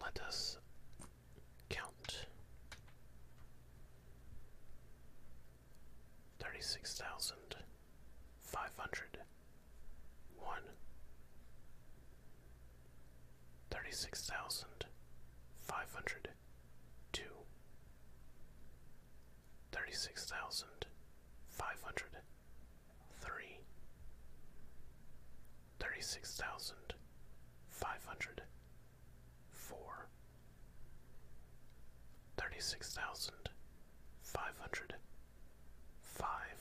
Let us count thirty six thousand five hundred one thirty six thousand five hundred two thirty six thousand five hundred three thirty-six thousand five hundred four thirty-six thousand five hundred five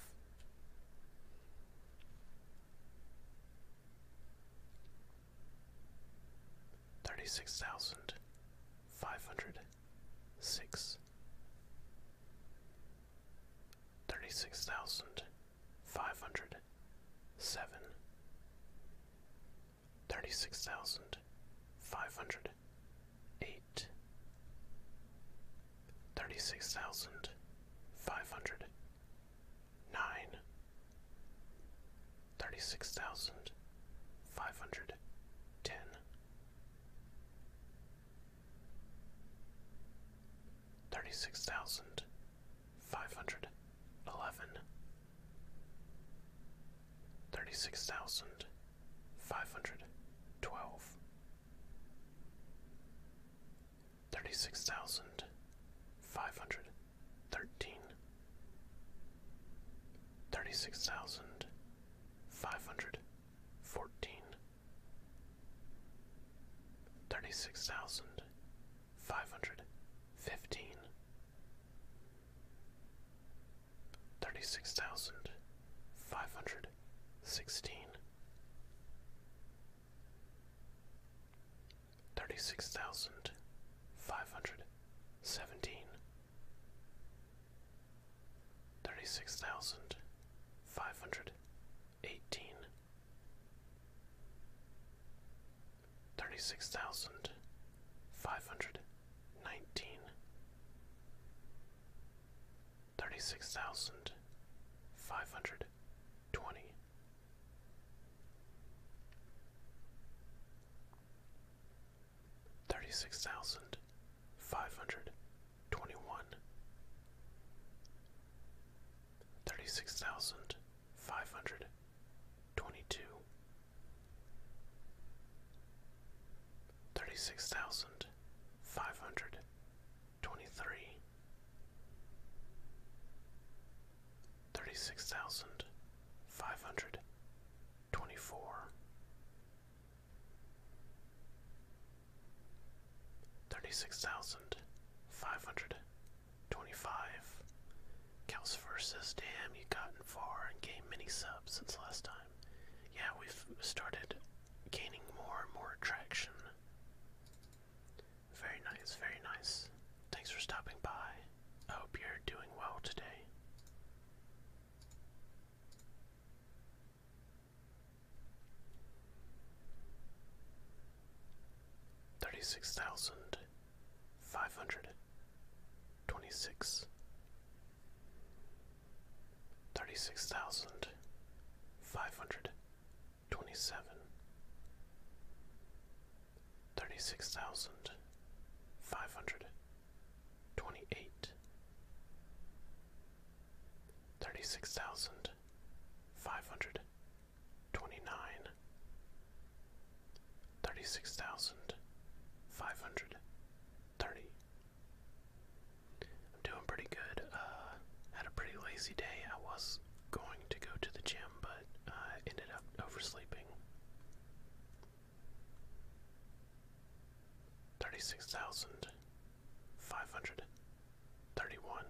thirty-six thousand five hundred six thirty-six thousand five hundred seven thirty six thousand five hundred eight thirty six thousand five hundred nine thirty six thousand five hundred ten thirty-six thousand five hundred eleven, thirty-six thousand five hundred twelve, thirty-six thousand five hundred thirteen, thirty-six thousand five hundred fourteen thirty six thousand five hundred fifteen thirty six thousand five hundred sixteen thirty six thousand five hundred seventeen thirty six thousand five hundred eighteen thirty six thousand five hundred nineteen thirty six thousand five hundred twenty thirty six thousand five hundred twenty one thirty-six thousand five hundred twenty-two, thirty-six thousand five hundred twenty-three, thirty-six thousand five hundred twenty-four. Thirty-six thousand five hundred twenty-five. Calcifer says, "Damn, you have gotten far and gained many subs since last time. Yeah, we've started gaining more and more traction. Very nice, very nice. Thanks for stopping by. I hope you're doing well today." Thirty-six thousand, five hundred twenty-six. Thirty-six thousand, five hundred twenty-seven. Thirty-six thousand, five hundred thirty six thousand five hundred twenty six thirty six thousand five hundred twenty seven thirty six thousand five hundred twenty eight thirty six thousand five hundred twenty-nine, thirty-six thousand five hundred thirty. I'm doing pretty good. Uh, had a pretty lazy day. I was going to go to the gym, but ended up oversleeping. Thirty-six thousand five hundred thirty-one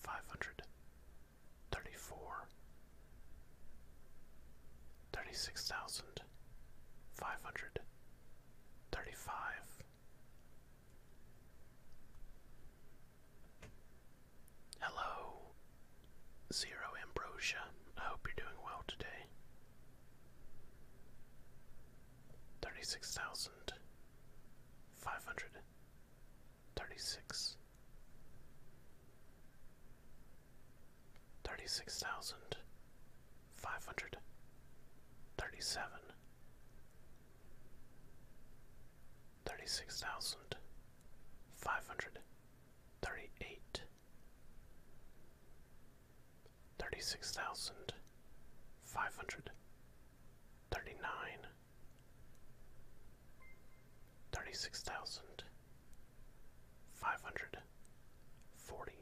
five hundred thirty four thirty six thousand five hundred thirty five Hello Zero Ambrosia. I hope you're doing well today. Thirty six thousand five hundred Thirty-six. Thirty-six thousand five hundred thirty-seven. Thirty-six thousand five hundred thirty-eight. Thirty-six thousand five hundred thirty-nine thirty-six thousand five hundred forty.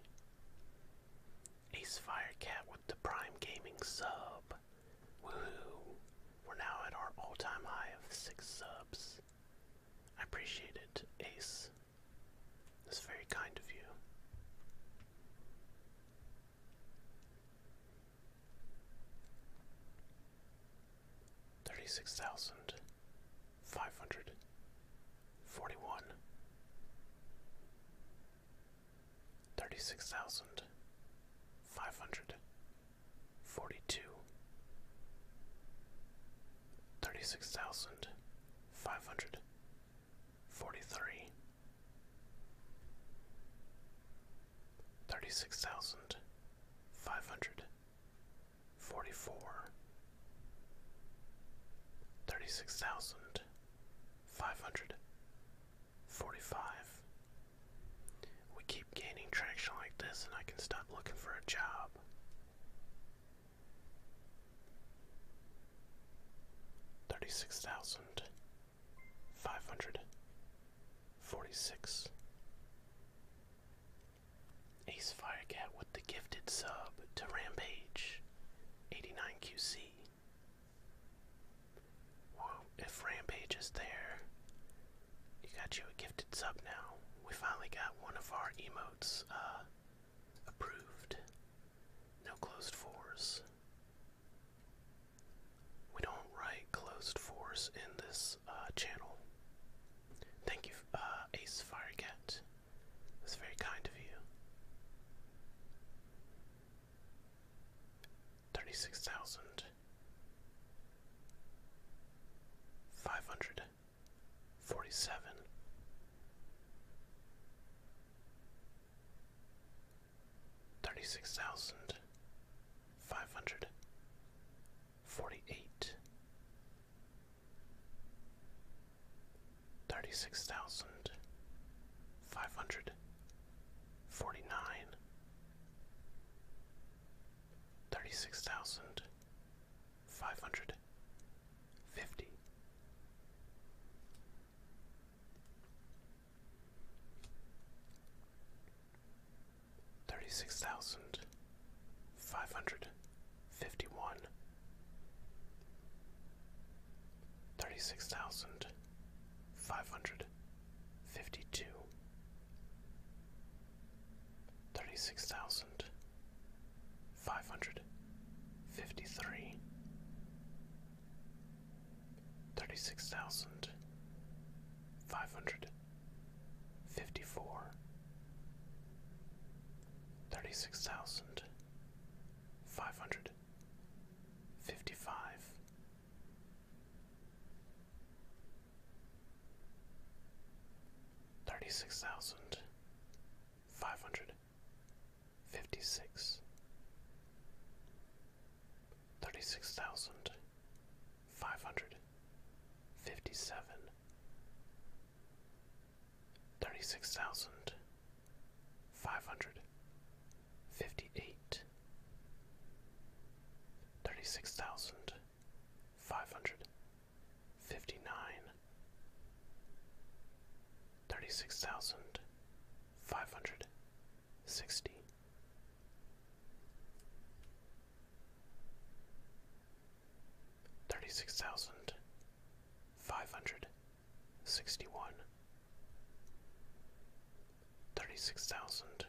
Ace Firecat with the Prime Gaming sub. Woohoo! We're now at our all-time high of six subs. I appreciate it, Ace. That's very kind of you thirty six thousand five hundred forty one thirty six thousand five hundred forty two thirty six thousand five hundred forty three thirty six thousand five hundred forty four thirty six thousand five hundred forty five we keep gaining traction like this and I can stop looking for a job thirty six thousand five hundred forty six. Ace Firecat with the gifted sub to Rampage 89QC. if Rampage is there, you got you a gifted sub now. We finally got one of our emotes uh, approved. No closed fours. We don't write closed force in this uh, channel. Thank you, uh, Ace Firecat. That's very kind of you. 36,000. 500 thirty-six thousand five hundred forty-eight, thirty-six thousand five hundred forty-nine, thirty-six thousand five hundred fifty thirty six thousand five hundred fifty one thirty six thousand five hundred fifty two thirty six thousand five hundred fifty three thirty-six thousand five hundred fifty-four, thirty-six thousand five hundred fifty-five, thirty-six thousand five hundred fifty-six thirty-six thousand five hundred fifty-seven, thirty-six thousand five hundred fifty-eight, thirty-six thousand five hundred fifty-nine, thirty-six thousand five hundred sixty Thirty six thousand five hundred sixty one, thirty six thousand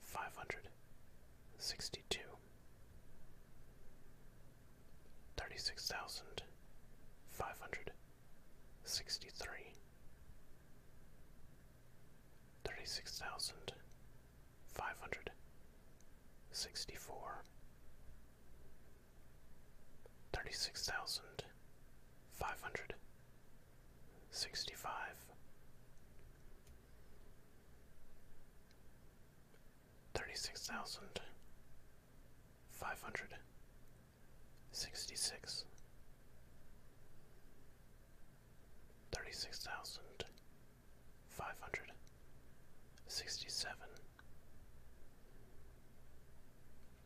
five hundred sixty two, thirty six thousand five hundred sixty three thirty-six thousand five hundred sixty-four, thirty-six thousand five hundred sixty-five, thirty-six thousand five hundred Sixty-six. Thirty-six sixty-six, thirty-six thousand five hundred sixty-seven,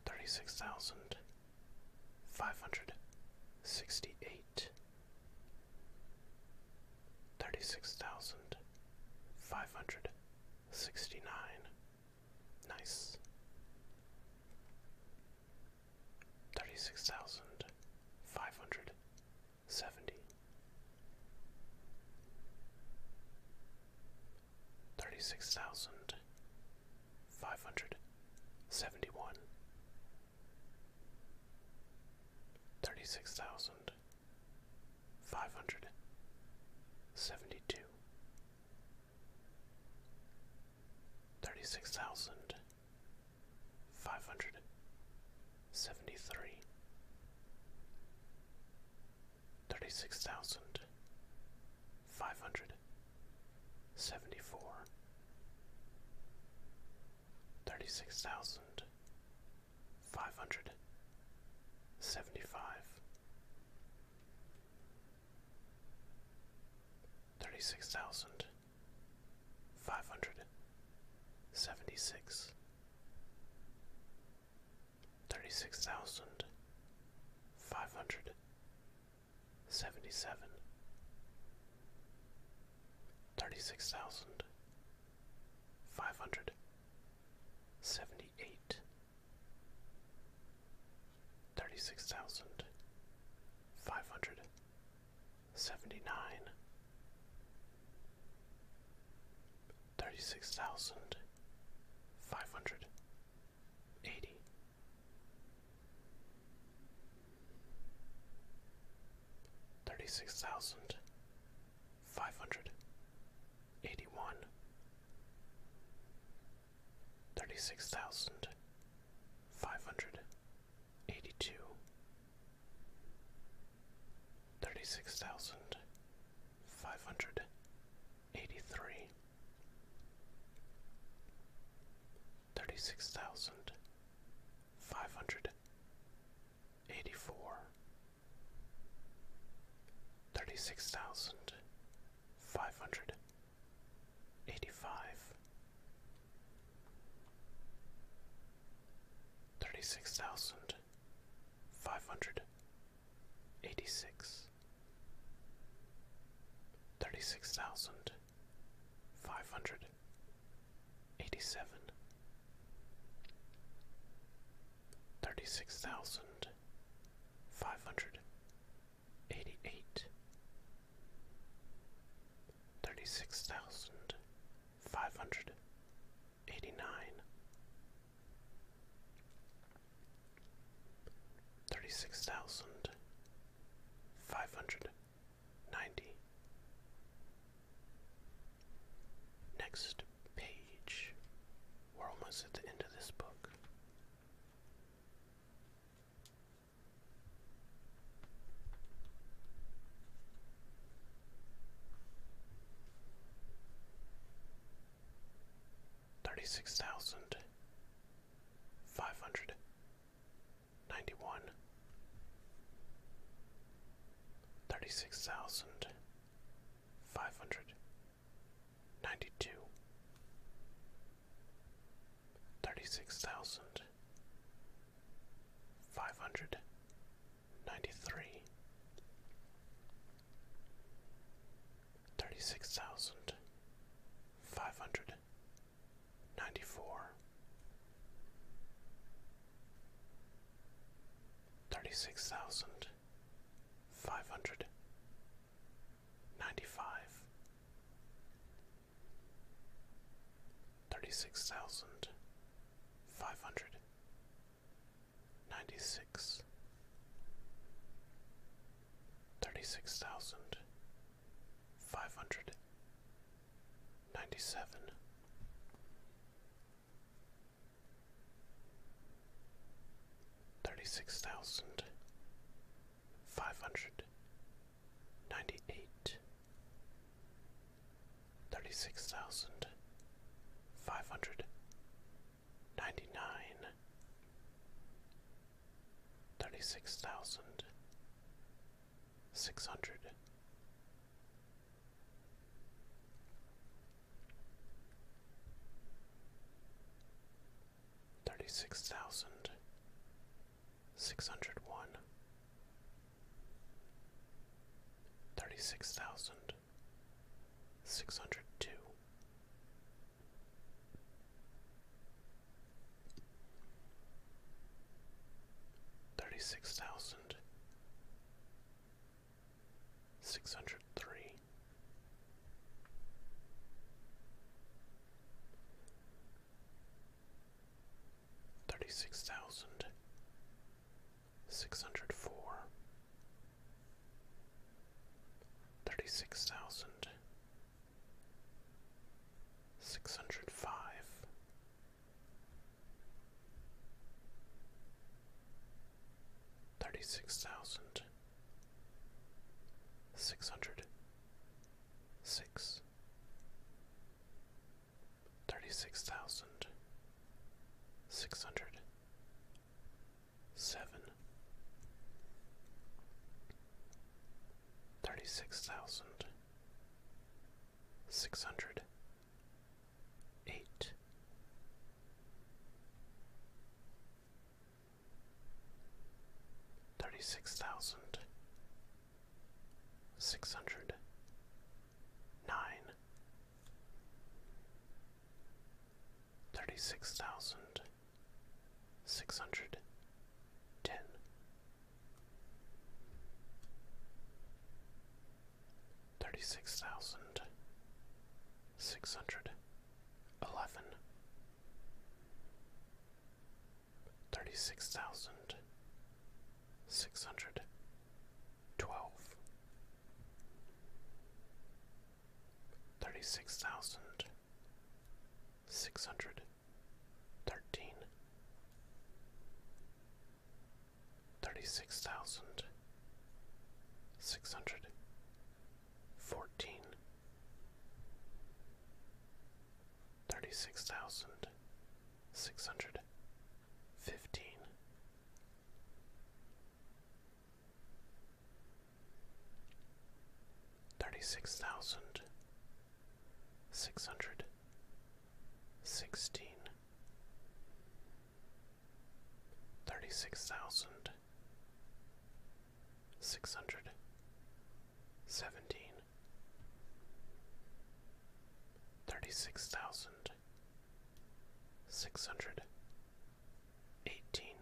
thirty-six thousand five hundred sixty-eight, thirty-six thousand five hundred sixty-nine. Nice thirty-six thousand five hundred seventy, thirty-six thousand five hundred seventy-one, thirty-six thousand five hundred seventy-two thirty-six thousand five hundred seventy-three, thirty-six thousand five hundred seventy-four, thirty-six thousand five hundred seventy-five thirty-six thousand five hundred seventy-six, thirty-six thousand five hundred seventy-seven, thirty-six thousand five hundred seventy-eight thirty-six thousand five hundred seventy-nine, thirty-six thousand five hundred eighty, thirty-six thousand five hundred eighty-one thirty-six thousand five hundred eighty-two, thirty-six thousand five hundred eighty-three, thirty-six thousand five hundred eighty-four, thirty-six thousand five hundred Eighty-six. Thirty-six eighty-five, thirty-six thousand five hundred eighty-six, thirty-six thousand five hundred eighty-seven, thirty-six thousand five hundred eighty eight, thirty six thousand five hundred eighty nine, thirty six thousand five hundred ninety. Next page. We're almost at the end of this book. Thirty-six thousand five hundred ninety-one, thirty-six thousand five hundred ninety-two, thirty-six thousand five hundred ninety-three, thirty-six thousand five hundred ninety-four, thirty-six thousand five hundred ninety-five thirty-six thousand five hundred ninety-six thirty-six thousand five hundred ninety-seven Thirty six thousand five hundred ninety-eight, thirty-six thousand, five hundred, ninety-nine, thirty-six thousand, six hundred. Thirty six thousand six hundred one, thirty six thousand, six hundred two, thirty six thousand, six hundred three thirty six thousand six hundred four thirty six thousand six hundred five thirty six thousand six hundred six, thirty-six thousand, six hundred, seven, thirty-six thousand, six hundred, eight. Thirty six thousand six hundred nine thirty six thousand six hundred ten thirty six thousand six hundred eleven thirty six thousand six hundred twelve thirty six thousand six hundred thirteen thirty six thousand six hundred fourteen thirty-six thousand six hundred fifteen. Thirty-six thousand six hundred sixteen, thirty-six thousand six hundred seventeen, thirty-six thousand six hundred eighteen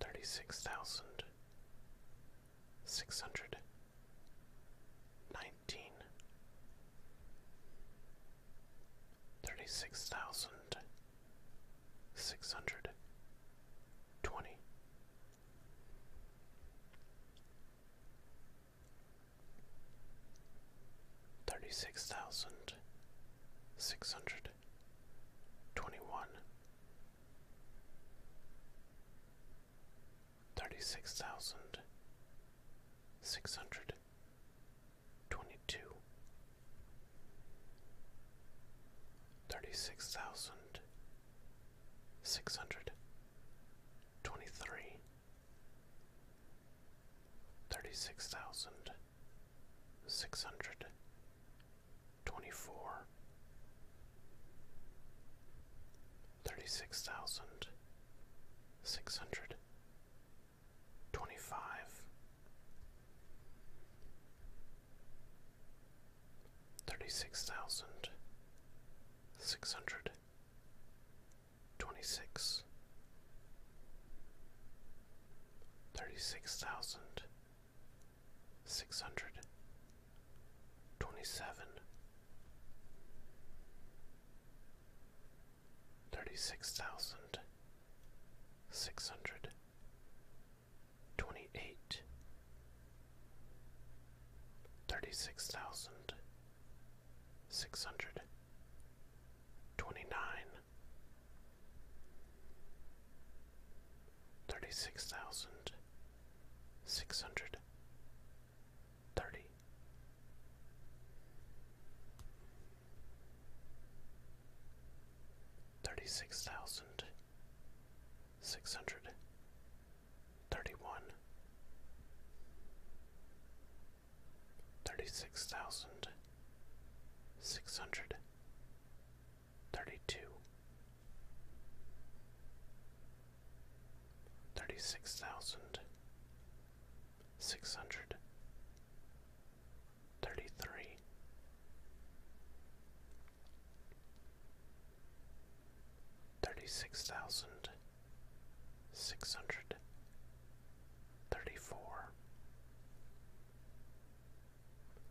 thirty-six thousand six hundred nineteen thirty-six thousand six hundred twenty Thirty six thousand six hundred twenty one, thirty six thousand six hundred twenty two, thirty-six thousand six hundred twenty-three thirty-six thousand six hundred twenty-four thirty-six thousand six hundred twenty-five thirty six thousand six hundred twenty six thirty six thousand six hundred twenty seven thirty six thousand six hundred twenty-eight, thirty-six thousand, six hundred, twenty-nine, thirty-six thousand, six hundred, thirty. Thirty six thousand six hundred thirty one thirty six thousand six hundred thirty two thirty six thousand six hundred thirty three thirty six thousand six hundred thirty four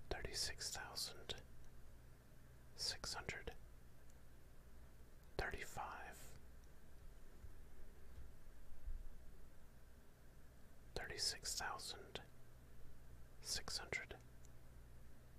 thirty six thousand six hundred thirty five thirty six thousand six hundred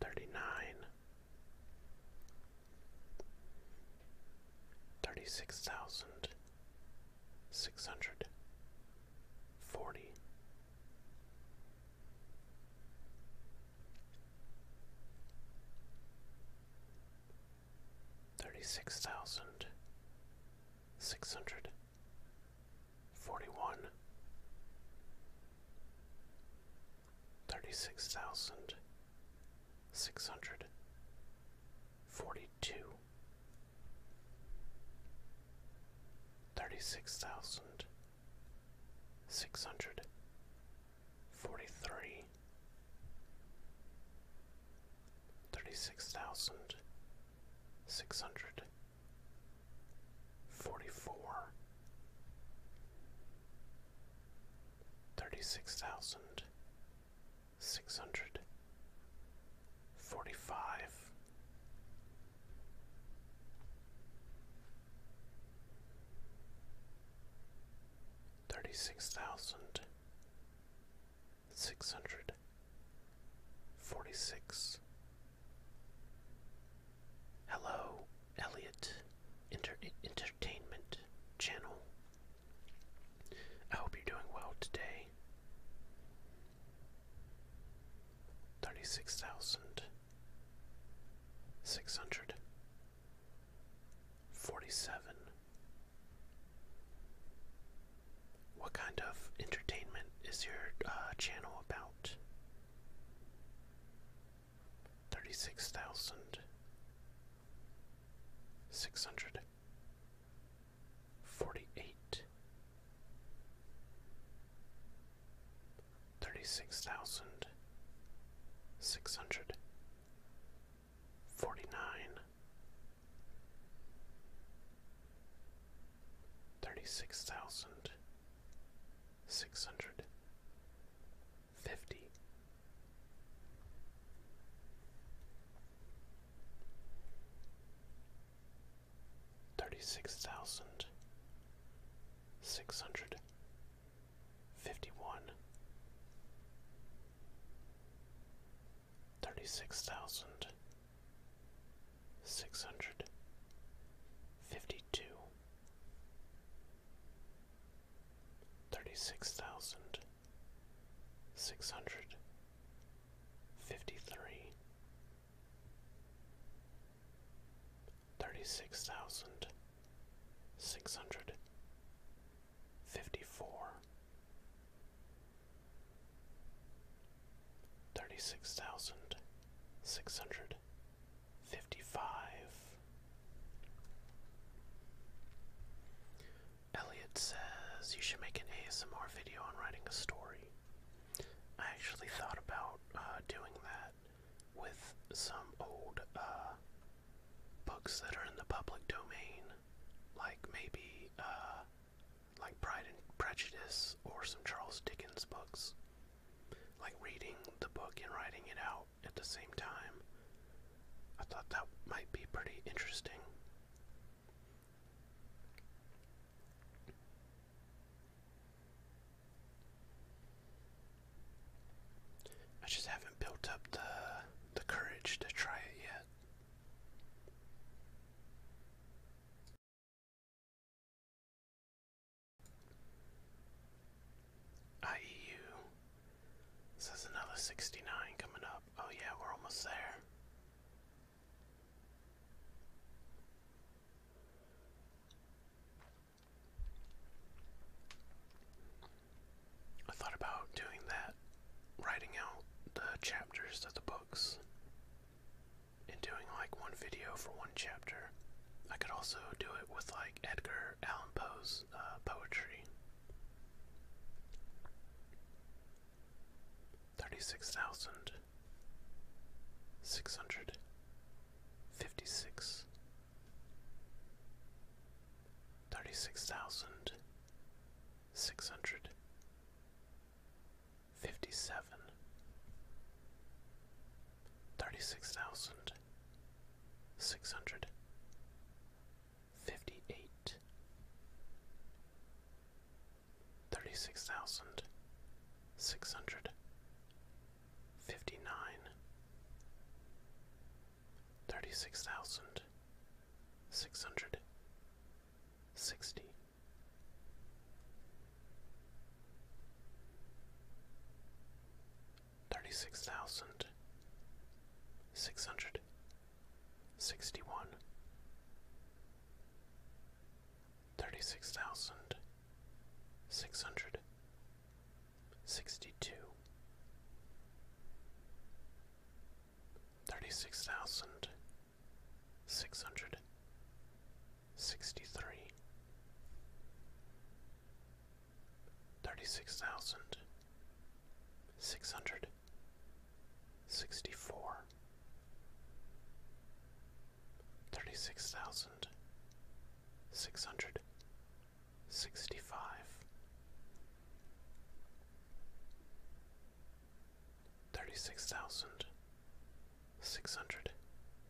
thirty-nine, thirty-six thousand six hundred forty. Thirty six thousand six hundred forty-one, thirty-six thousand six hundred forty-two, thirty-six thousand six hundred forty-three, thirty-six thousand six hundred forty-four, thirty-six thousand six hundred forty-five, thirty-six thousand six hundred forty-six. Hello, Elliot Entertainment Channel. I hope you're doing well today. 36,647. What kind of entertainment is your uh, channel about? out. Thirty-six thousand six hundred forty-eight, thirty-six thousand six hundred forty-nine, thirty-six thousand six hundred fifty thirty-six thousand six hundred fifty-one thirty-six thousand six hundred fifty two thirty six thousand six hundred fifty three thirty six thousand six hundred fifty four Thirty six thousand six hundred fifty five. Elliot says you should make an ASMR video on writing a story. I actually thought about uh, doing that with some old uh, books that are in the public domain, like maybe uh, like Pride and Prejudice or some Charles Dickens books. Like reading the book and writing it out at the same time. I thought that might be pretty interesting. I just haven't built up the the courage to try it yet. IEU says another 69 coming up. Oh, yeah, we're almost there. I thought about doing that, writing out the chapters of the books and doing like one video for one chapter. I could also do it with like Edgar Allan Poe's uh, poetry. 36,656 36,600 Fifty-seven. Six hundred. thousand. Six Fifty-eight. Thirty-six six hundred. hundred. Sixty. Thirty six thousand six hundred sixty one, thirty six thousand six hundred sixty two, thirty six thousand six hundred Sixty-three. Sixty-four. Sixty-five. sixty-three, thirty-six thousand, six hundred, sixty-four, thirty-six thousand, six hundred, sixty-five, thirty-six thousand, six hundred,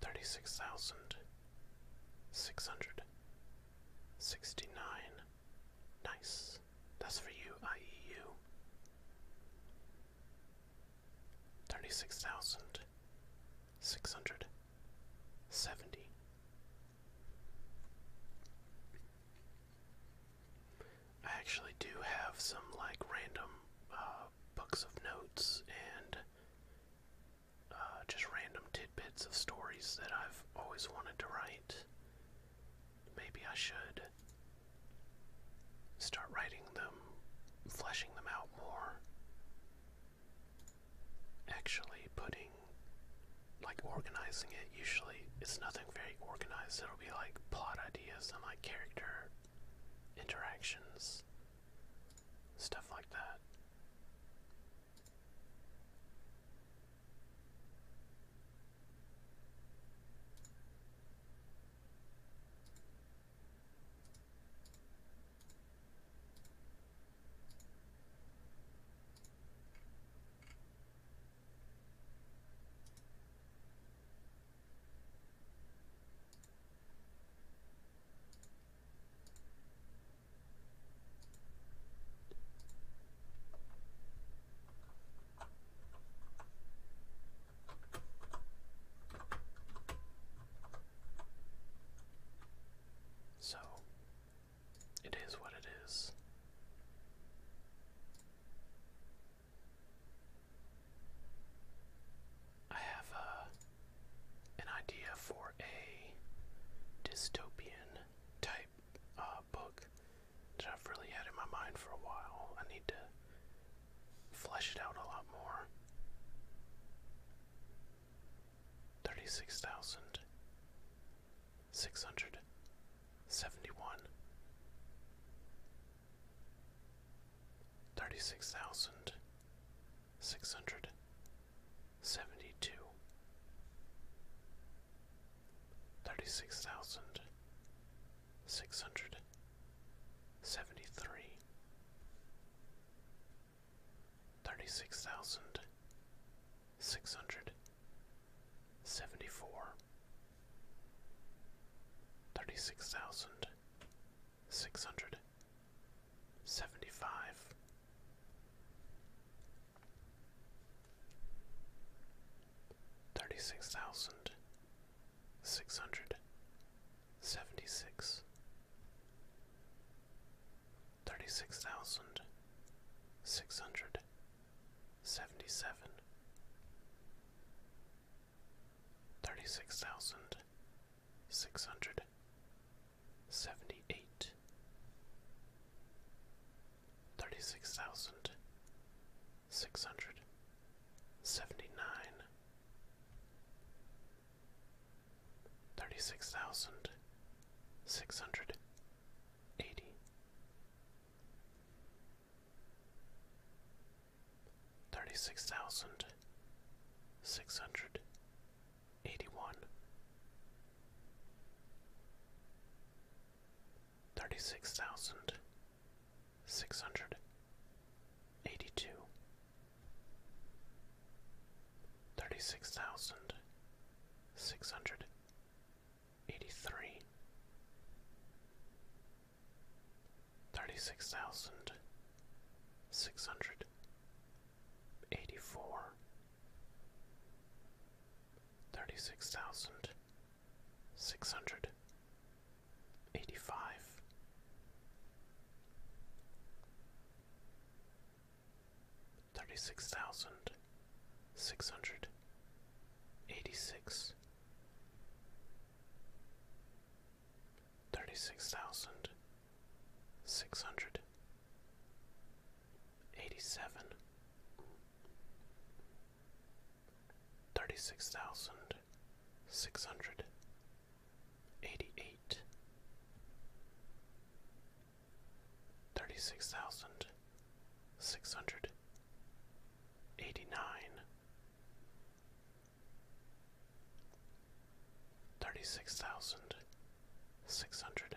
thirty-six thousand six hundred sixty-nine. Nice. That's for you, IEU. Thirty-six thousand six hundred seventy. I actually do have some like random uh, books of notes and uh, just random tidbits of stories that I've always wanted to write. Maybe I should start writing them, fleshing them out more. Actually, putting, like, organizing it, usually it's nothing very organized. It'll be like plot ideas and like character interactions stuff like that. So it is what it is. I have a uh, an idea for a dystopian type uh, book that I've really had in my mind for a while. I need to flesh it out a lot more. 36,671 36,000 six hundred seventy two thirty six thousand six hundred seventy three thirty six thousand six hundred seventy four thirty six thousand six hundred seventy five thirty six thousand six hundred seventy six thirty six thousand six hundred seventy seven thirty six thousand six hundred seventy eight, thirty six thousand six hundred seventy nine, thirty six thousand six hundred eighty. Thirty six thousand six hundred eighty one, thirty six thousand six hundred eighty two, thirty six thousand six hundred eighty three, thirty six thousand six hundred eighty-four, thirty-six thousand, six hundred, eighty-five, thirty-six thousand, six hundred, eighty-six, thirty-six thousand six hundred eighty seven thirty six thousand six hundred eighty eight thirty six thousand six hundred eighty nine Thirty six thousand six hundred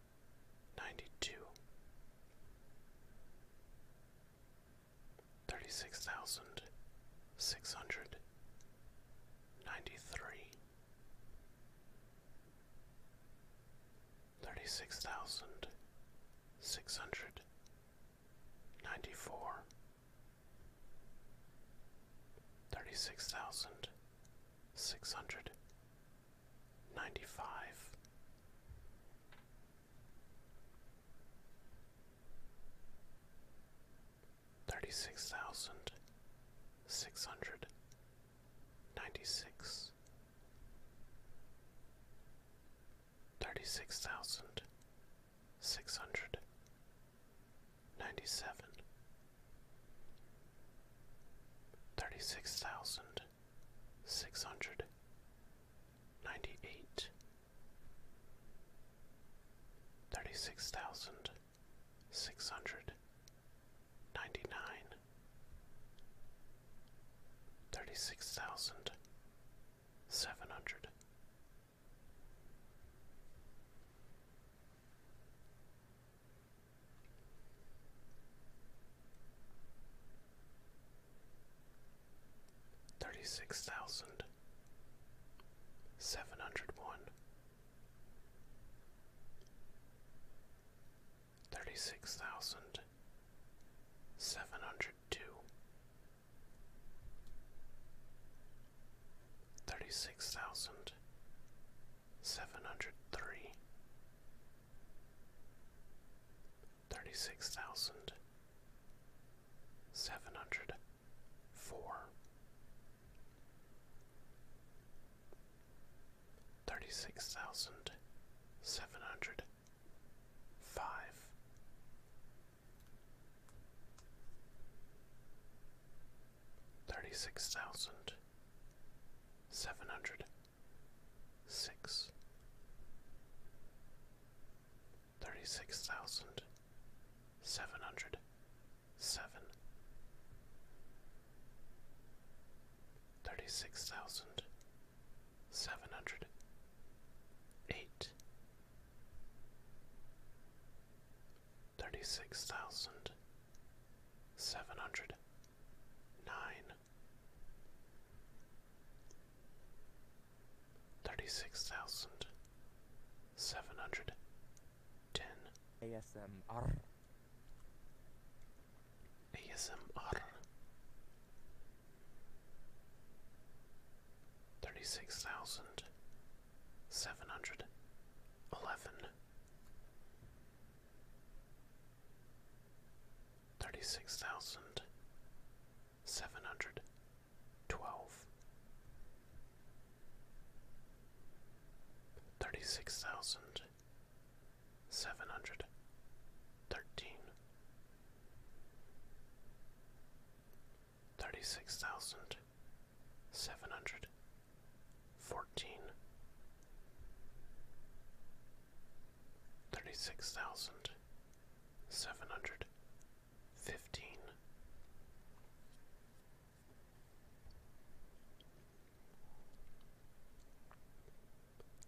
ninety-two, thirty-six thousand six hundred ninety-three, thirty-six thousand six hundred ninety-four, thirty-six thousand six hundred ninety-five. Thirty-six thousand six hundred ninety-six, thirty-six thousand six hundred ninety-seven, thirty-six thousand six hundred ninety eight thirty six thousand six hundred ninety nine thirty six thousand seven hundred thirty six thousand seven hundred one, thirty six thousand seven hundred two, thirty six thousand seven hundred three thirty-six thousand seven hundred four thirty-six thousand seven hundred five thirty-six thousand seven hundred six thirty six thousand seven hundred seven thirty six thousand seven hundred eight thirty six thousand seven hundred nine Thirty-six thousand seven hundred ten. ASMR. ASMR. Thirty-six thousand seven hundred eleven thirty-six thousand seven hundred twelve, thirty-six thousand seven hundred thirteen, thirty-six thousand seven hundred fourteen thirty-six thousand seven hundred fifteen.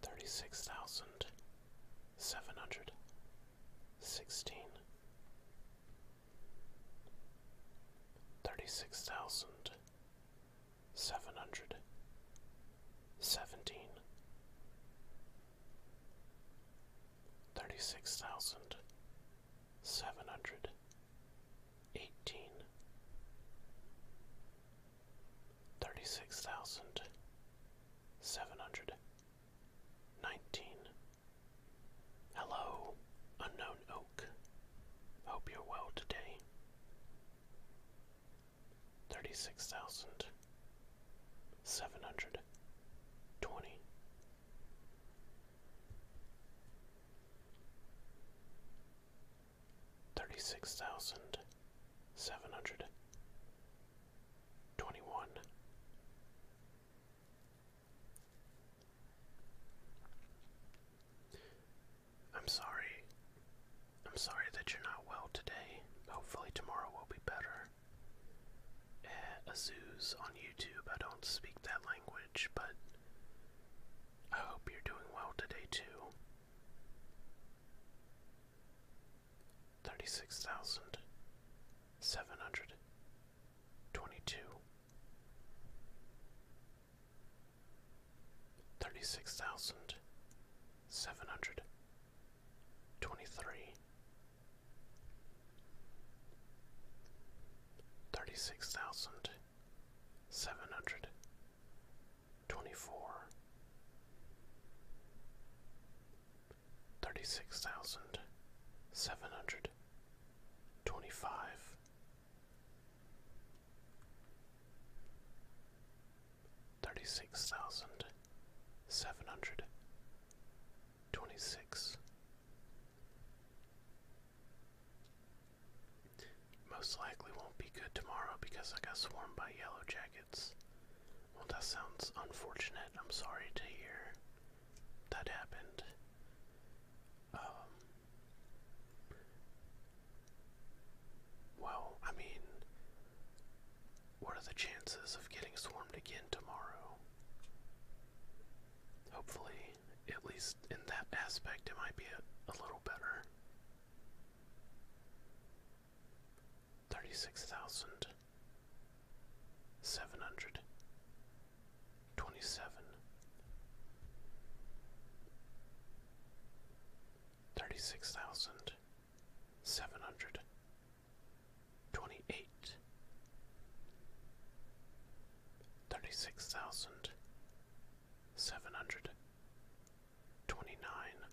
Thirty-six thousand seven hundred sixteen, thirty-six thousand seven hundred seventeen thirty six thousand seven hundred eighteen thirty six thousand seven hundred nineteen Hello, unknown oak. Hope you're well today thirty-six thousand seven hundred twenty thirty-six thousand seven hundred twenty-one I'm sorry I'm sorry that you're not well today. Hopefully, tomorrow will be better. Eh, Azuz on YouTube. I don't speak that language, but I hope you're doing well today, too. 36,722. 36,700 Twenty-three. Thirty-six twenty-three, thirty-six thousand seven hundred twenty-four, thirty-six thousand seven hundred twenty-five thirty-six thousand seven hundred twenty-six. Most likely won't be good tomorrow because I got swarmed by yellow Well, that sounds unfortunate. I'm sorry to hear that happened. Um, well, I mean, what are the chances of getting swarmed again tomorrow? Hopefully, at least in that aspect, it might be a, little better. 36,727 36,000 seven hundred twenty eight thirty six thousand seven hundred twenty nine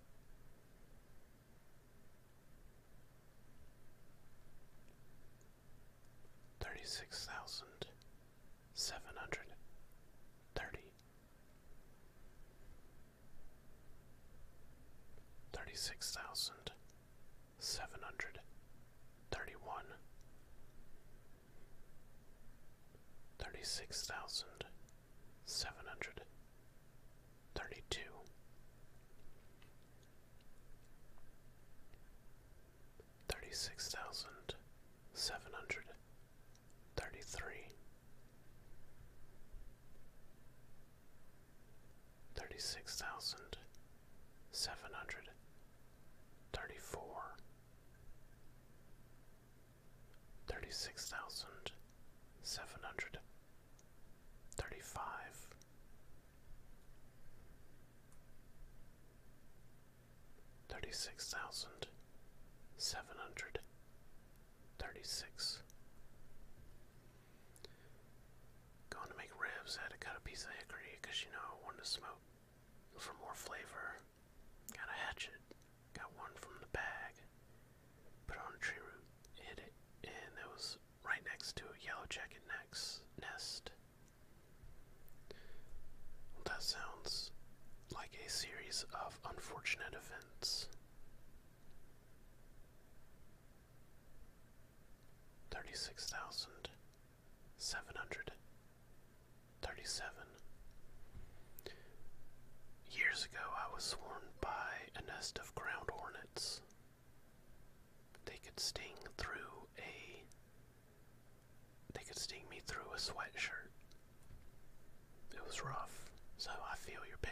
thirty six thousand seven hundred thirty thirty six thousand seven hundred thirty one thirty six thousand seven hundred thirty two thirty six thousand seven hundred thirty three thirty-six thousand seven hundred thirty-four, thirty-six thousand seven hundred thirty-five, thirty-six thousand seven hundred 36. Going to make ribs, I had cut a piece of hickory because you know I wanted to smoke. For more flavor, got a hatchet, got one from the bag, put on a tree root, hit it, and it was right next to a yellow jacket nest. that sounds like a series of unfortunate events thirty-six thousand seven hundred thirty-seven. Years ago, I was swarmed by a nest of ground hornets. They could sting through a. They could sting me through a sweatshirt. It was rough, so I feel your pain.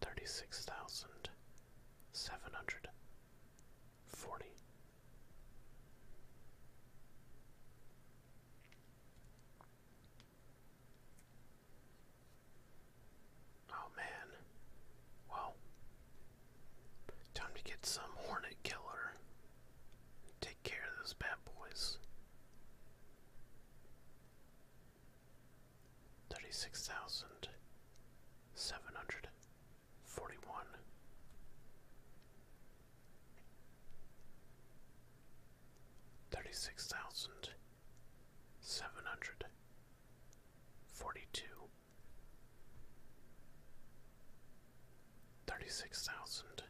thirty-six thousand seven hundred forty. Oh man. Well, time to get some hornet killer. Take care of those bad boys thirty-six thousand seven hundred forty-one. Thirty-six thousand seven hundred forty-two, thirty-six thousand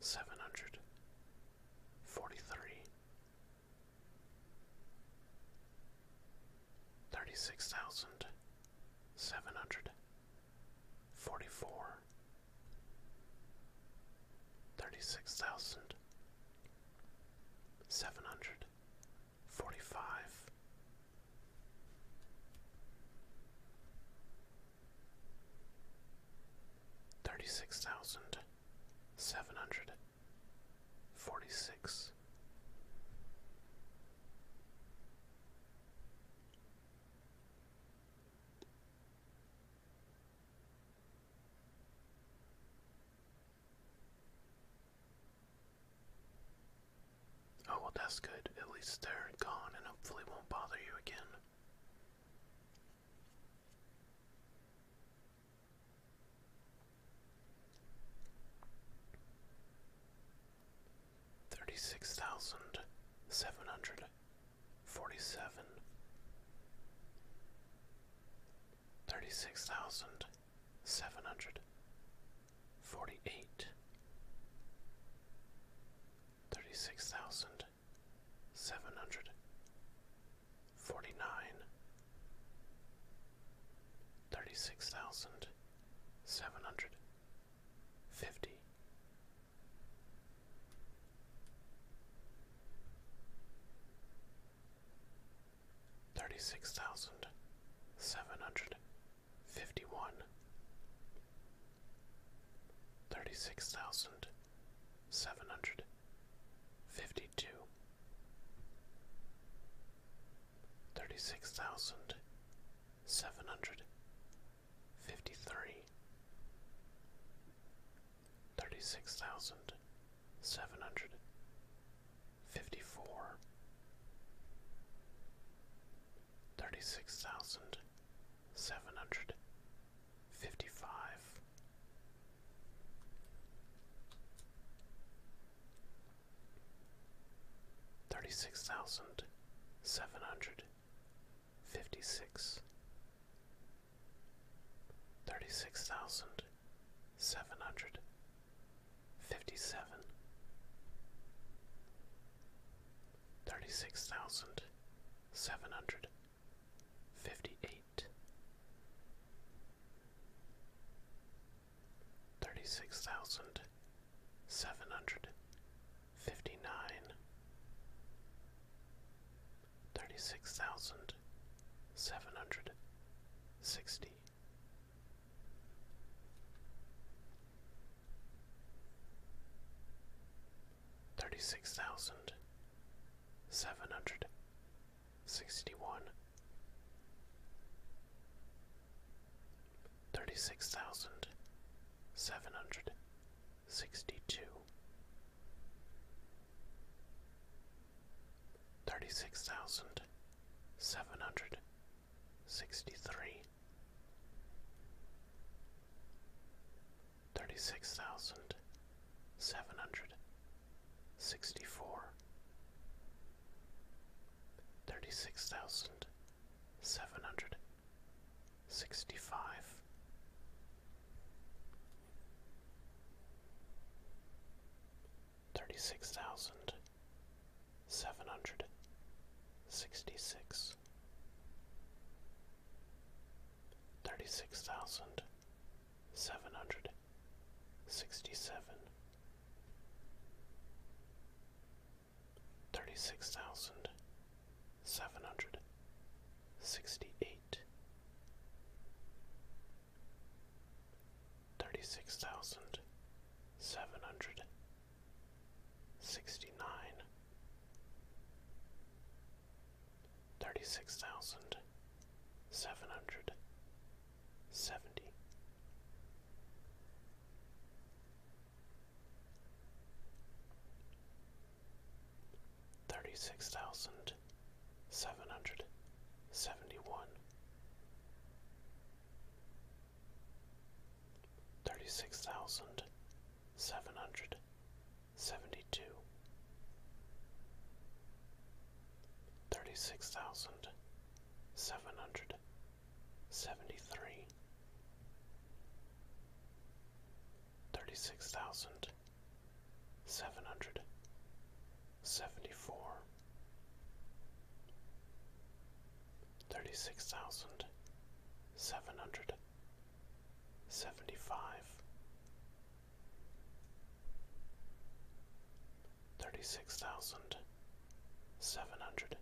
seven hundred forty-three, thirty six thousand seven hundred forty four thirty six thousand seven hundred forty five thirty six thousand seven hundred forty six Oh, well, that's good. At least they're gone and hopefully won't bother you again. Thirty six thousand seven hundred forty seven, thirty six thousand seven hundred forty eight, thirty six thousand seven hundred forty nine, thirty six thousand seven hundred fifty. Thirty six thousand seven hundred fifty one, thirty six thousand seven hundred Fifty-two. Thirty-six fifty two thirty six thousand seven hundred fifty three thirty six thousand seven hundred fifty four thirty six thousand seven hundred fifty five Thirty six thousand seven hundred fifty six, thirty six thousand seven hundred fifty seven, thirty six thousand seven hundred fifty eight thirty-six thousand seven hundred fifty-nine, thirty-six thousand seven hundred sixty. Thirty six thousand seven hundred Sixty-one. Thirty-six thousand, sixty-one, thirty-six thousand seven hundred sixty-two, thirty-six thousand seven hundred sixty-three, thirty-six thousand seven hundred Sixty-four. sixty-four, thirty-six thousand seven hundred sixty-five, thirty-six thousand seven hundred sixty-six, thirty-six thousand thousand seven hundred sixty-eight. Thirty-six thousand seven hundred sixty-nine thirty-six thousand seven hundred seventy. Thirty-six thousand seven hundred seventy-one, thirty-six thousand seven hundred seventy-two, thirty-six thousand seven hundred seventy-three, thirty-six thousand seven hundred seventy-four, thirty-six thousand seven hundred seventy-five thirty six thousand seven hundred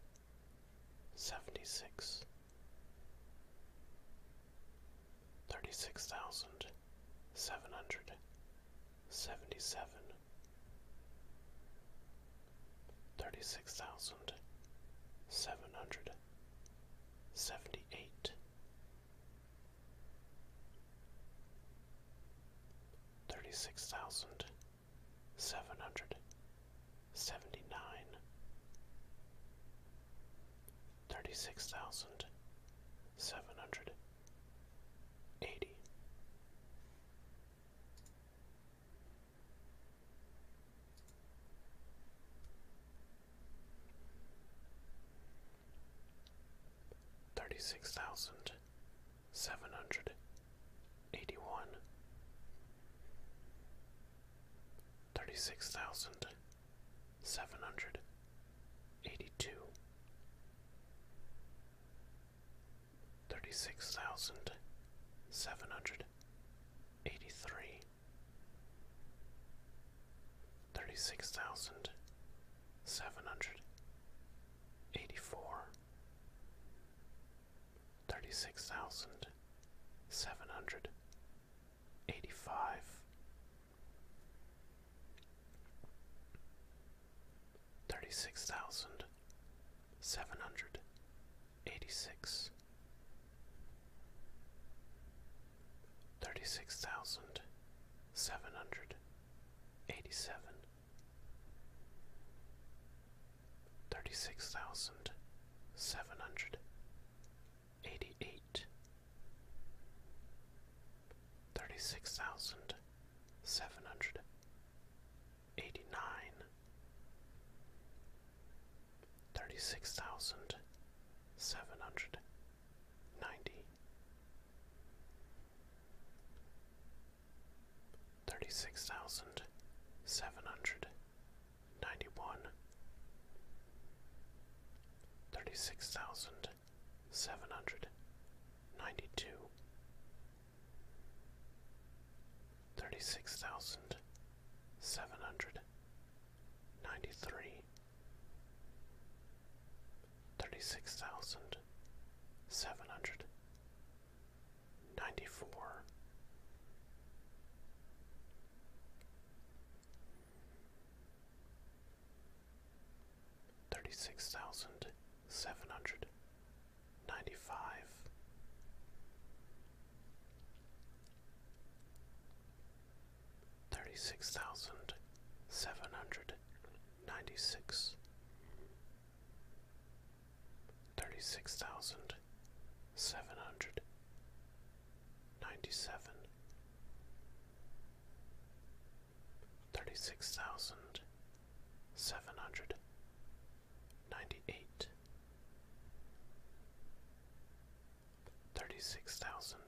seventy six thirty six thousand seven hundred seventy seven thirty six thousand seven hundred seventy eight Thirty-six thousand, seven hundred seventy-nine. Thirty-six thousand, seven hundred eighty thirty-six thousand seven hundred eighty-one, thirty-six thousand seven hundred eighty-two, thirty-six thousand seven hundred eighty-three eighty-four. Thirty-six thousand, seven thirty-six thousand seven hundred eighty-four, thirty-six thousand seven hundred eighty-five, thirty-six thousand seven hundred eighty-six. Thirty six thousand seven hundred eighty seven thirty six thousand seven hundred eighty eight thirty six thousand seven hundred eighty nine thirty six thousand seven hundred ninety, thirty six thousand seven hundred ninety one, thirty six thousand seven hundred ninety two, thirty six thousand seven hundred ninety three thirty-six thousand seven hundred ninety-four. Thirty six thousand seven hundred ninety five, thirty six thousand seven hundred ninety six, thirty six thousand seven hundred ninety seven, thirty six thousand seven hundred ninety eight, thirty six thousand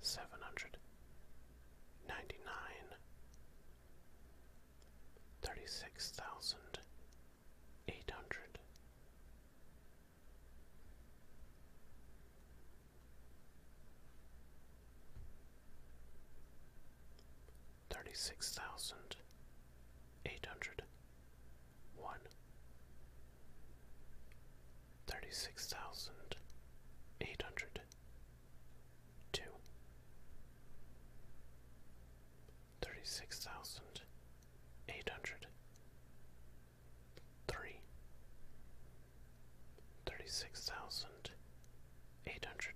seven hundred ninety nine thirty six thousand eight hundred thirty six thousand eight hundred one Thirty six thousand eight hundred thousand, eight hundred. thousand, eight hundred.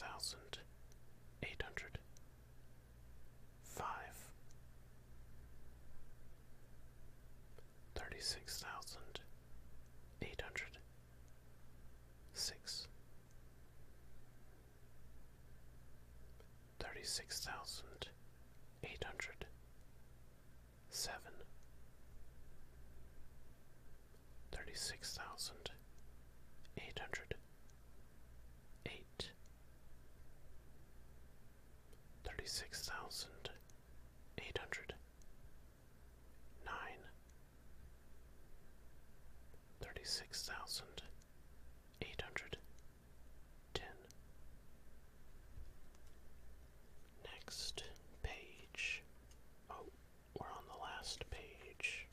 thousand, eight hundred five thirty six thousand eight hundred six thirty six thousand eight hundred seven thirty six thousand eight hundred eight thirty-six thousand eight hundred nine thirty-six thousand eight hundred ten next page oh we're on the last page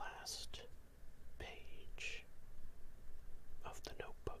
last page of the notebook.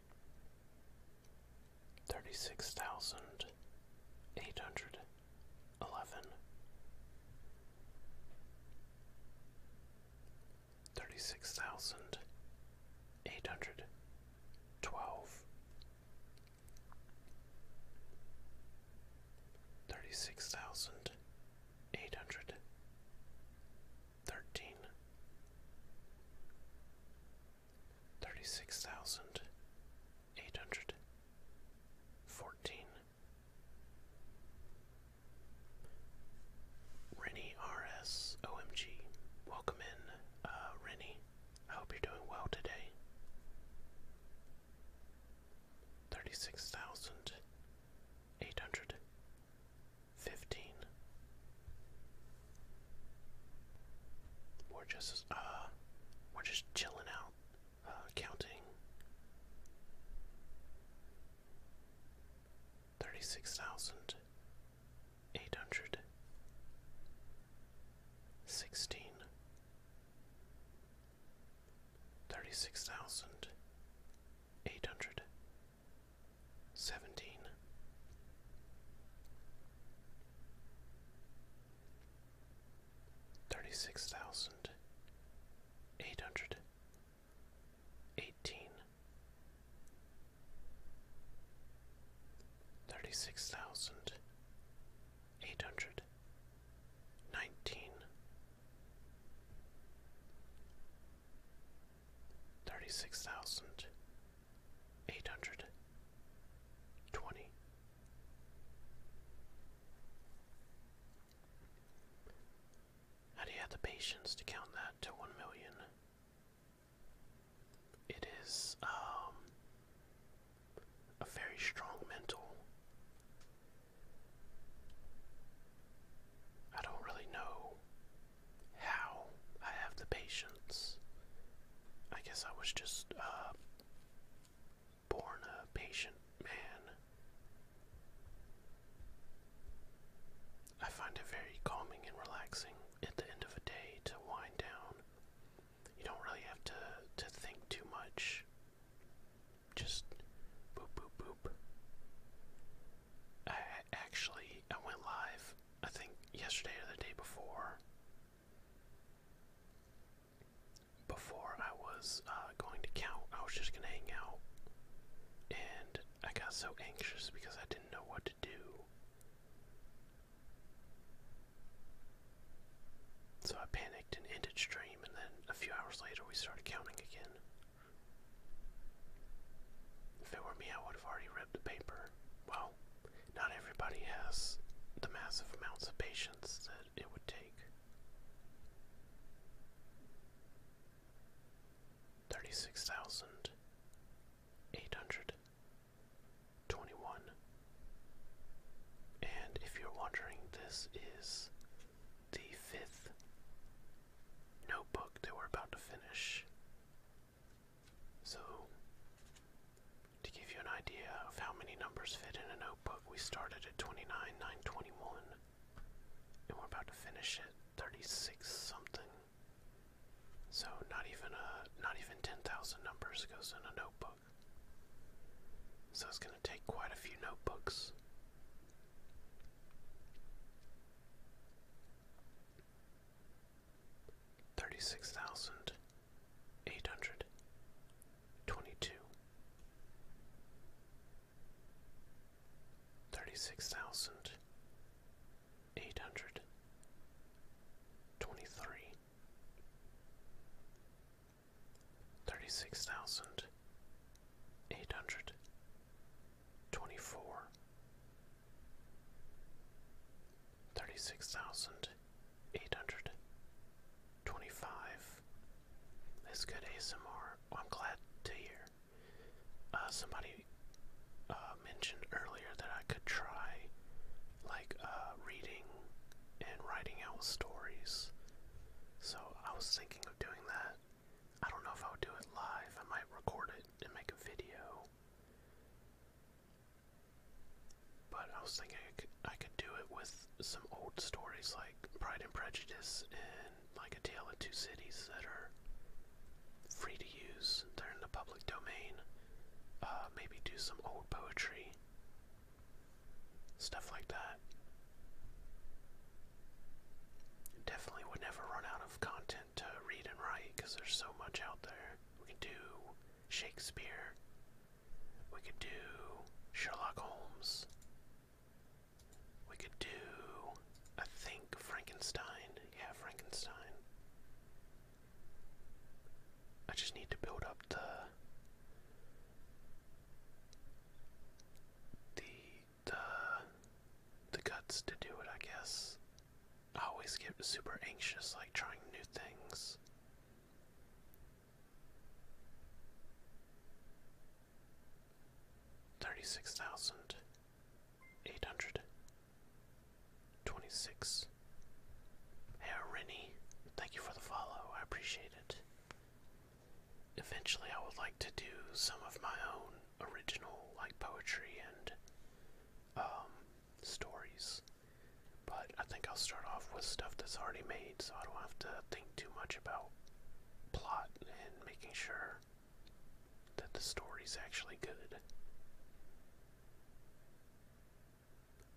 thirty six thousand eight hundred eleven, thirty six thousand eight hundred twelve, thirty six thousand eight hundred thirteen thirty six thousand eight hundred fourteen Rennie RS OMG. Welcome in, uh, Rennie. I hope you're doing well today. Thirty six thousand eight hundred fifteen we're just uh we're just chilling out, uh counting. Thirty six thousand eight hundred sixteen thirty six thousand eight hundred seventeen. Thirty six thousand eight hundred eighteen, thirty six thousand eight hundred nineteen, thirty six thousand eight hundred twenty how do you have the patience to count that to one million? It is um a very strong mental. I don't really know how I have the patience. I guess I was just uh, born a patient man. I find it very calming and relaxing at the end of a day to wind down. You don't really have to, to think too much. Just boop, boop, boop. I actually, I went live I think yesterday or the day before, before I was uh, going to count, I was just going to hang out. And I got so anxious because I didn't know what to do. So I panicked and ended stream, and then a few hours later we started counting again. If it were me, I would have already ripped the paper. Well, not everybody has the massive amounts of patience that it would take. 36,821. And if you're wondering, this is the fifth notebook that we're about to finish. So, to give you an idea of how many numbers fit in a notebook, we started at twenty nine 29,921, and we're about to finish it 36 something. So not even a not even 10,000 numbers goes in a notebook. So it's going to take quite a few notebooks thirty-six thousand eight hundred twenty-two, thirty-six thousand eight hundred twenty-three, thirty-six thousand eight hundred twenty-four thirty-six thousand eight hundred twenty-five. That's good ASMR. I'm glad to hear. Uh, somebody uh, mentioned earlier that I could try, like, uh, reading and writing out stories. So I was thinking of doing that. I don't know if i would do it live. I might record it and make a video. But I was thinking I could, do it with some old stories like Pride and Prejudice and like A Tale of Two Cities that are free to use. They're in the public domain. Uh, maybe do some old poetry. Stuff like that. Definitely would never run out of content to read and write because there's so much out there. We can do Shakespeare. We could do Sherlock Holmes. We could do, I think, Frankenstein. Yeah, Frankenstein. I just need to build up the the the guts to do it, I guess. I always get super anxious, like trying new things. Thirty six thousand eight hundred twenty six. Hey, Rennie, thank you for the follow. I appreciate it. Eventually, I would like to do some of my own original, like poetry and um, stories. But I think I'll start off with stuff that's already made so I don't have to think too much about plot and making sure that the story's actually good.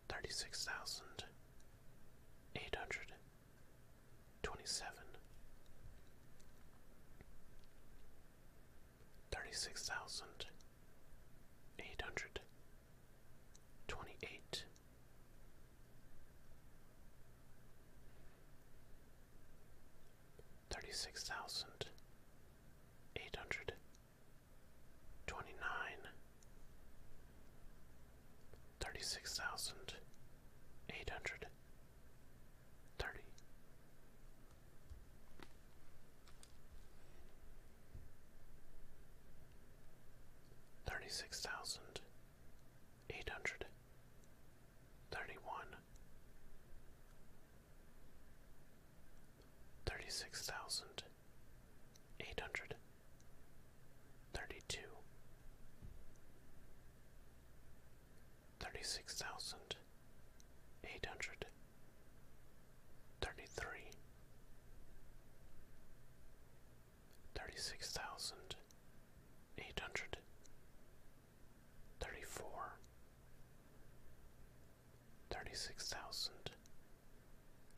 36,827 thirty-six thousand eight hundred twenty-eight thirty-six thousand eight hundred twenty-nine thirty-six thousand eight hundred thirty hundred. Thirty-two. Thirty-six Thirty six thousand eight hundred thirty one, thirty six thousand eight hundred thirty two, thirty six thousand eight hundred thirty three, thirty six thousand eight hundred thirty four, thirty six thousand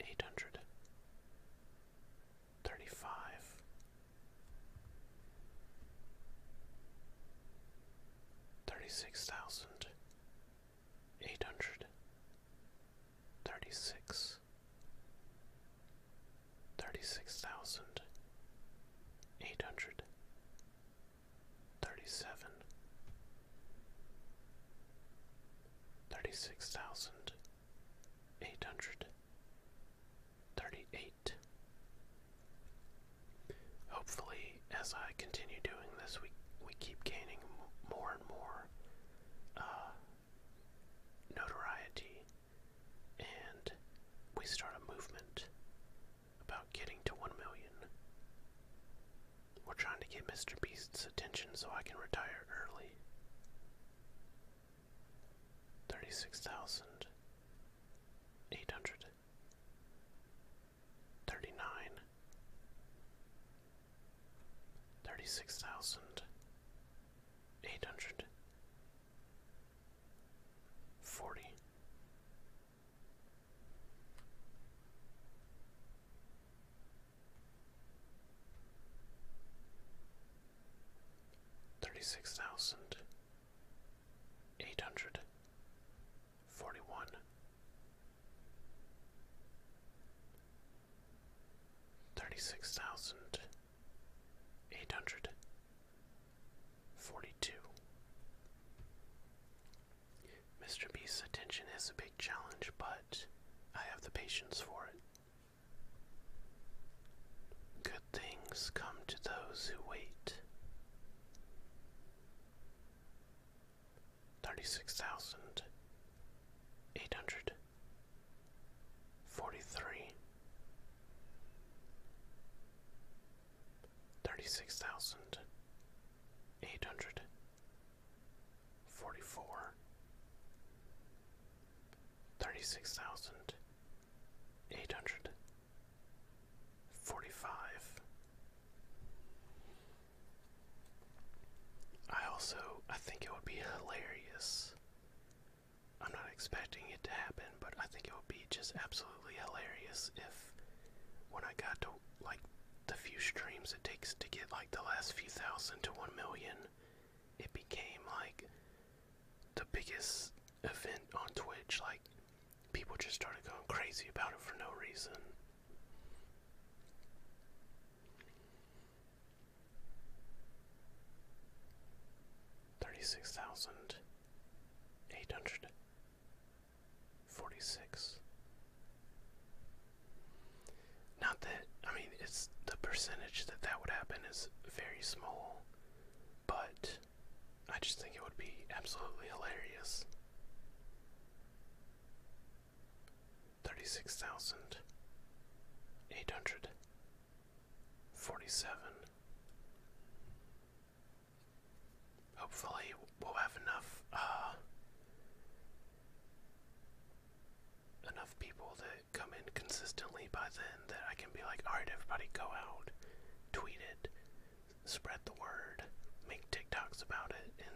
eight hundred thirty five. Thirty six thousand eight hundred thirty six thirty six thousand eight hundred thirty seven thirty six thousand eight hundred thirty eight Hopefully, as I continue doing this, we we keep gaining more and more uh, notoriety, and we start a movement about getting to one million. We're trying to get Mr. Beast's attention so I can retire early. Thirty-six thousand eight hundred. Eight hundred. Forty. thirty-nine, thirty-six thousand eight hundred Eight hundred forty one, thirty six thousand eight hundred forty two. Mr. Beast's attention is a big challenge, but I have the patience for it. Good things come to those who wait thirty-six thousand eight hundred forty-three, thirty-six thousand eight hundred forty-four, thirty-six thousand eight hundred forty-five. I also I think it would be hilarious. I'm not expecting it to happen, but I think it would be just absolutely hilarious if when I got to like the few streams it takes to get like the last few thousand to 1 million, it became like the biggest event on Twitch like people just started going crazy about it for no reason. Thirty-six thousand eight hundred forty-six. Not that I mean it's the percentage that that would happen is very small, but I just think it would be absolutely hilarious thirty-six thousand eight hundred forty-seven. Hopefully, we'll have enough uh, enough people that come in consistently by then that I can be like, all right, everybody, go out, tweet it, spread the word, make TikToks about it, and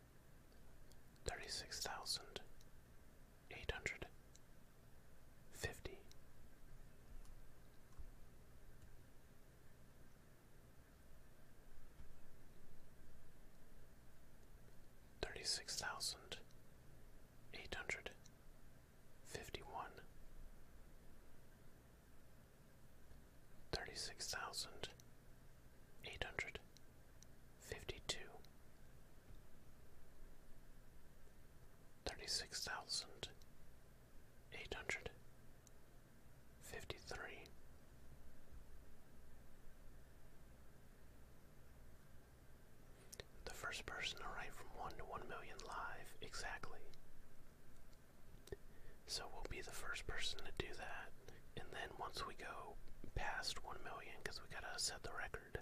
thirty-six thousand eight hundred fifty thirty-six thousand eight hundred fifty-one thirty-six thousand eight hundred fifty-two, thirty-six thousand eight hundred fifty-three, the first person to write from one to one million live exactly. So we'll be the first person to do that. And then once we go past 1 million, because we gotta set the record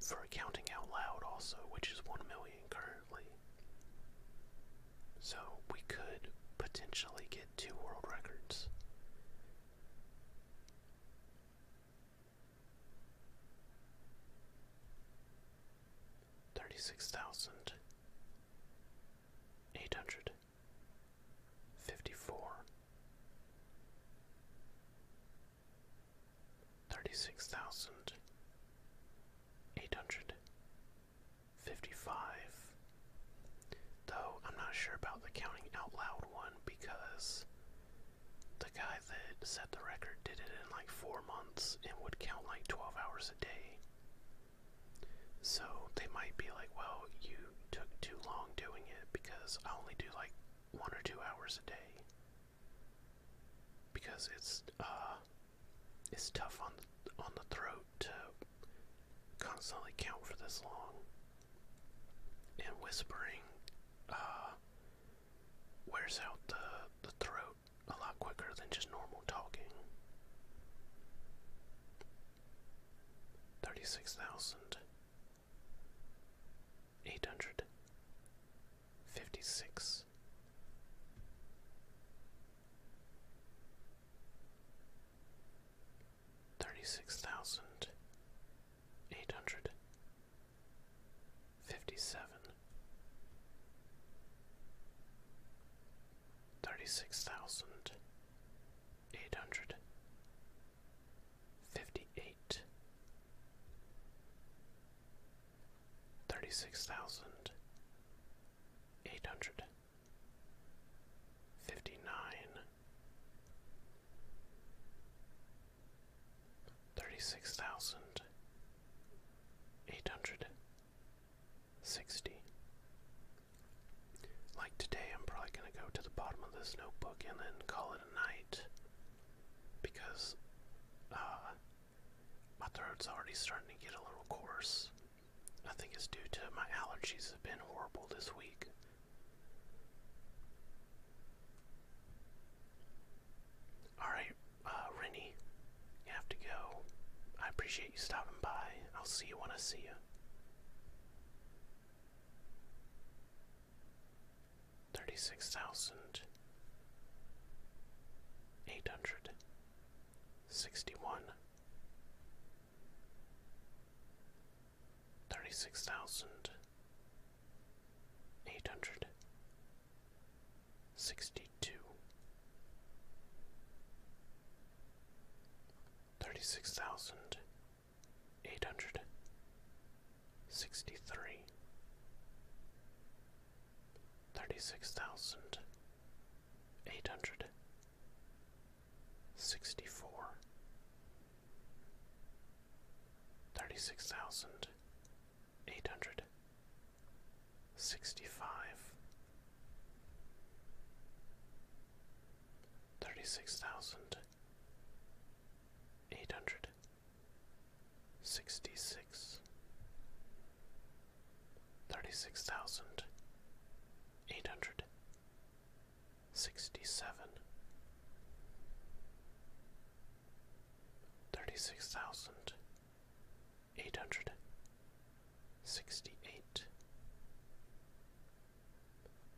for counting out loud also, which is 1 million currently. So we could potentially get two world records. Thirty six thousand eight hundred 54 36855 Though I'm not sure about the counting out loud one because the guy that set the record did it in like 4 months and would count like 12 hours a day. So they might be like, well, you took too long doing it because I only do like one or two hours a day because it's uh it's tough on the, on the throat to constantly count for this long and whispering uh wears out the the throat a lot quicker than just normal talking 36,000 eight hundred fifty six thirty six thousand eight hundred fifty seven thirty six thousand eight hundred Fifty-eight. fifty-eight, thirty-six thousand eight hundred fifty-nine, thirty-six thousand eight hundred sixty like today, I'm probably going to go to the bottom of this notebook and then call it a night because uh, my throat's already starting to get a little coarse. I think it's due to my allergies have been horrible this week. Alright, uh, Rennie, you have to go. I appreciate you stopping by. I'll see you when I see you thirty six thousand eight hundred sixty one thirty six thousand eight hundred sixty two thirty six thousand eight hundred sixty three thirty six thousand eight hundred sixty four thirty six thousand eight hundred sixty five thirty-six thousand eight hundred sixty-six, thirty-six thousand eight hundred sixty-seven, thirty-six thousand eight hundred sixty-eight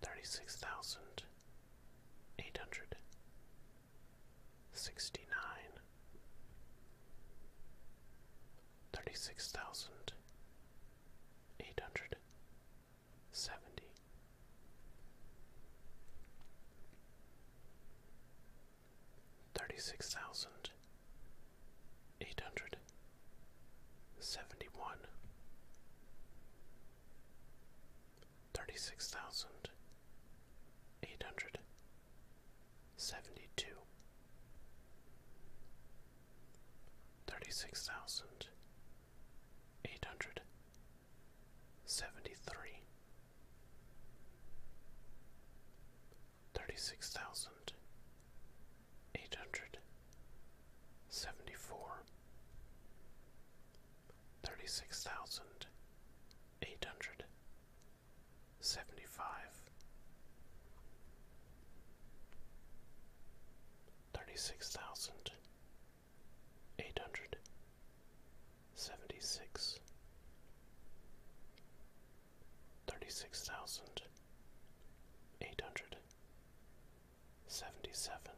thirty-six thousand eight hundred sixty-nine, thirty-six thousand eight hundred seventy. Thirty-six thousand eight hundred seventy-one, thirty-six thousand eight hundred seventy-two, thirty-six thousand eight hundred seventy-three, thirty-six thousand eight hundred seventy-four thirty six thousand eight hundred seventy five thirty six thousand eight hundred seventy six thirty six thousand eight hundred seventy seven,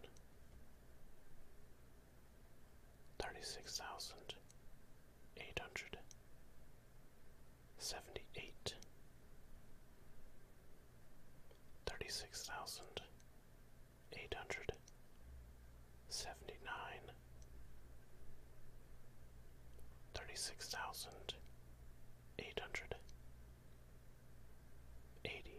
thirty six thousand eight hundred seventy eight, thirty six thousand eight hundred seventy nine, thirty six thousand eight hundred eighty.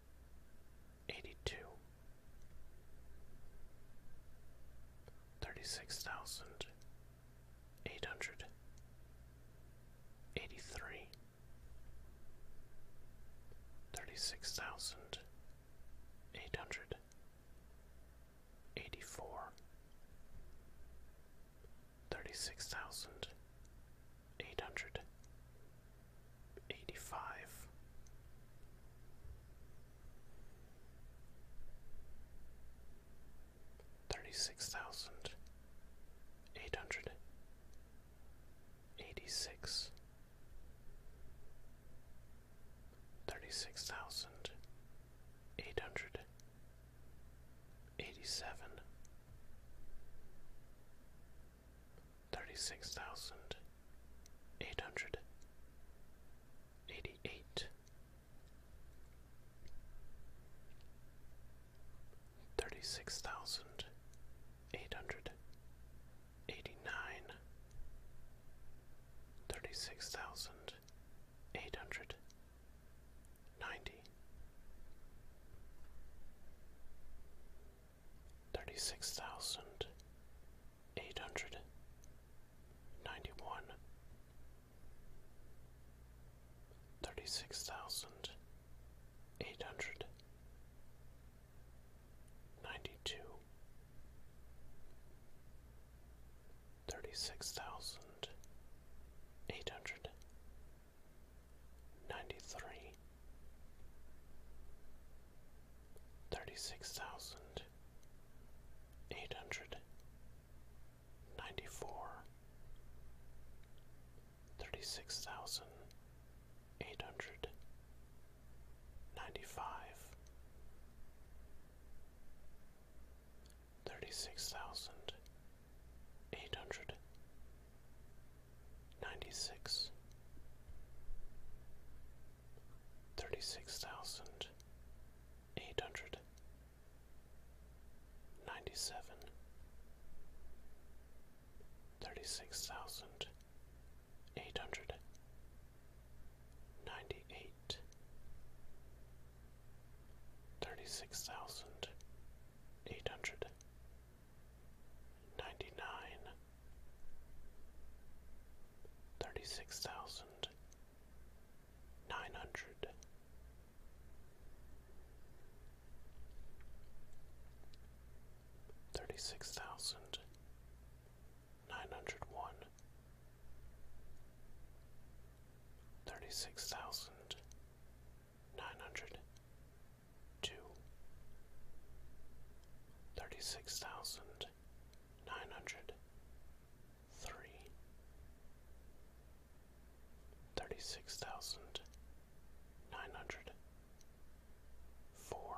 eighty-two, thirty-six thousand eight hundred eighty-three, thirty-six thousand eight hundred eighty-four, thirty-six thousand eight hundred eighty five thirty six thousand eight hundred eighty six thirty six thousand eight hundred eighty seven thirty-six thousand eight hundred eighty-eight, thirty-six thousand eight hundred eighty-nine, thirty-six thousand eight hundred ninety thirty six thousand eight hundred ninety one thirty six thousand eight hundred ninety two thirty six thousand eight hundred ninety three, thirty six thousand eight hundred ninety four, thirty six thousand eight hundred ninety five, thirty six thousand eight hundred Ninety-six. Ninety-seven. Ninety-eight. ninety six, thirty six thousand eight hundred ninety seven, thirty six thousand eight hundred ninety eight, thirty six thousand eight hundred ninety nine, thirty six thousand nine hundred, thirty six thousand nine hundred one. Thirty six thousand nine hundred two thirty six thousand nine hundred three thirty six thousand nine hundred four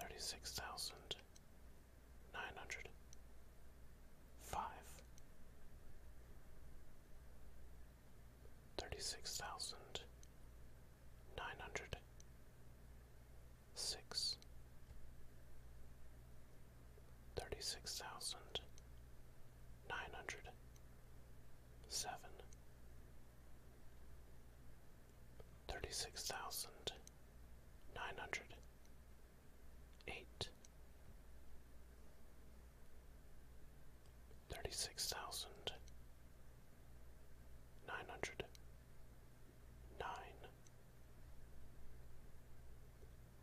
thirty six thousand nine hundred five thirty-six thousand nine hundred six thirty-six thousand nine hundred seven thirty-six thousand nine hundred eight thirty six thousand nine hundred nine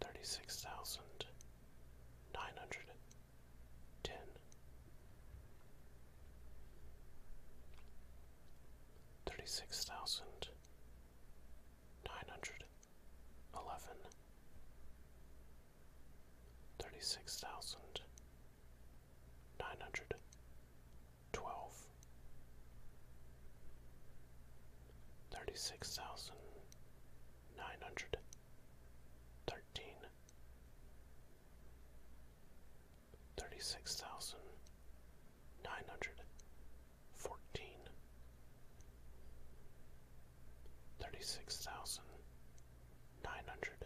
thirty six thousand nine hundred ten thirty six thousand nine hundred eleven thirty-six thousand nine hundred twelve, thirty-six thousand nine hundred thirteen, thirty-six thousand nine hundred fourteen, thirty-six thousand nine hundred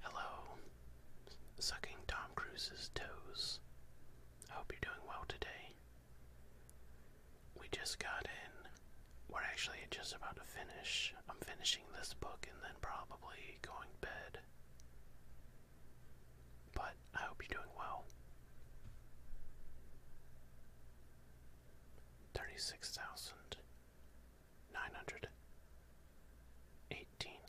Hello. Sucking Tom Cruise's toes. I hope you're doing well today. We just got in. We're actually just about to finish. I'm finishing this book and then probably going to bed. But I hope you're doing well. 36,900 eighteen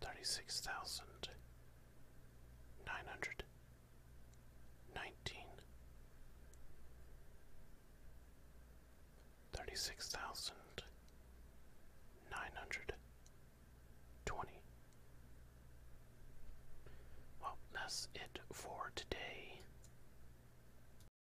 thirty six thousand nine hundred nineteen thirty six thousand nine hundred twenty well that's it for today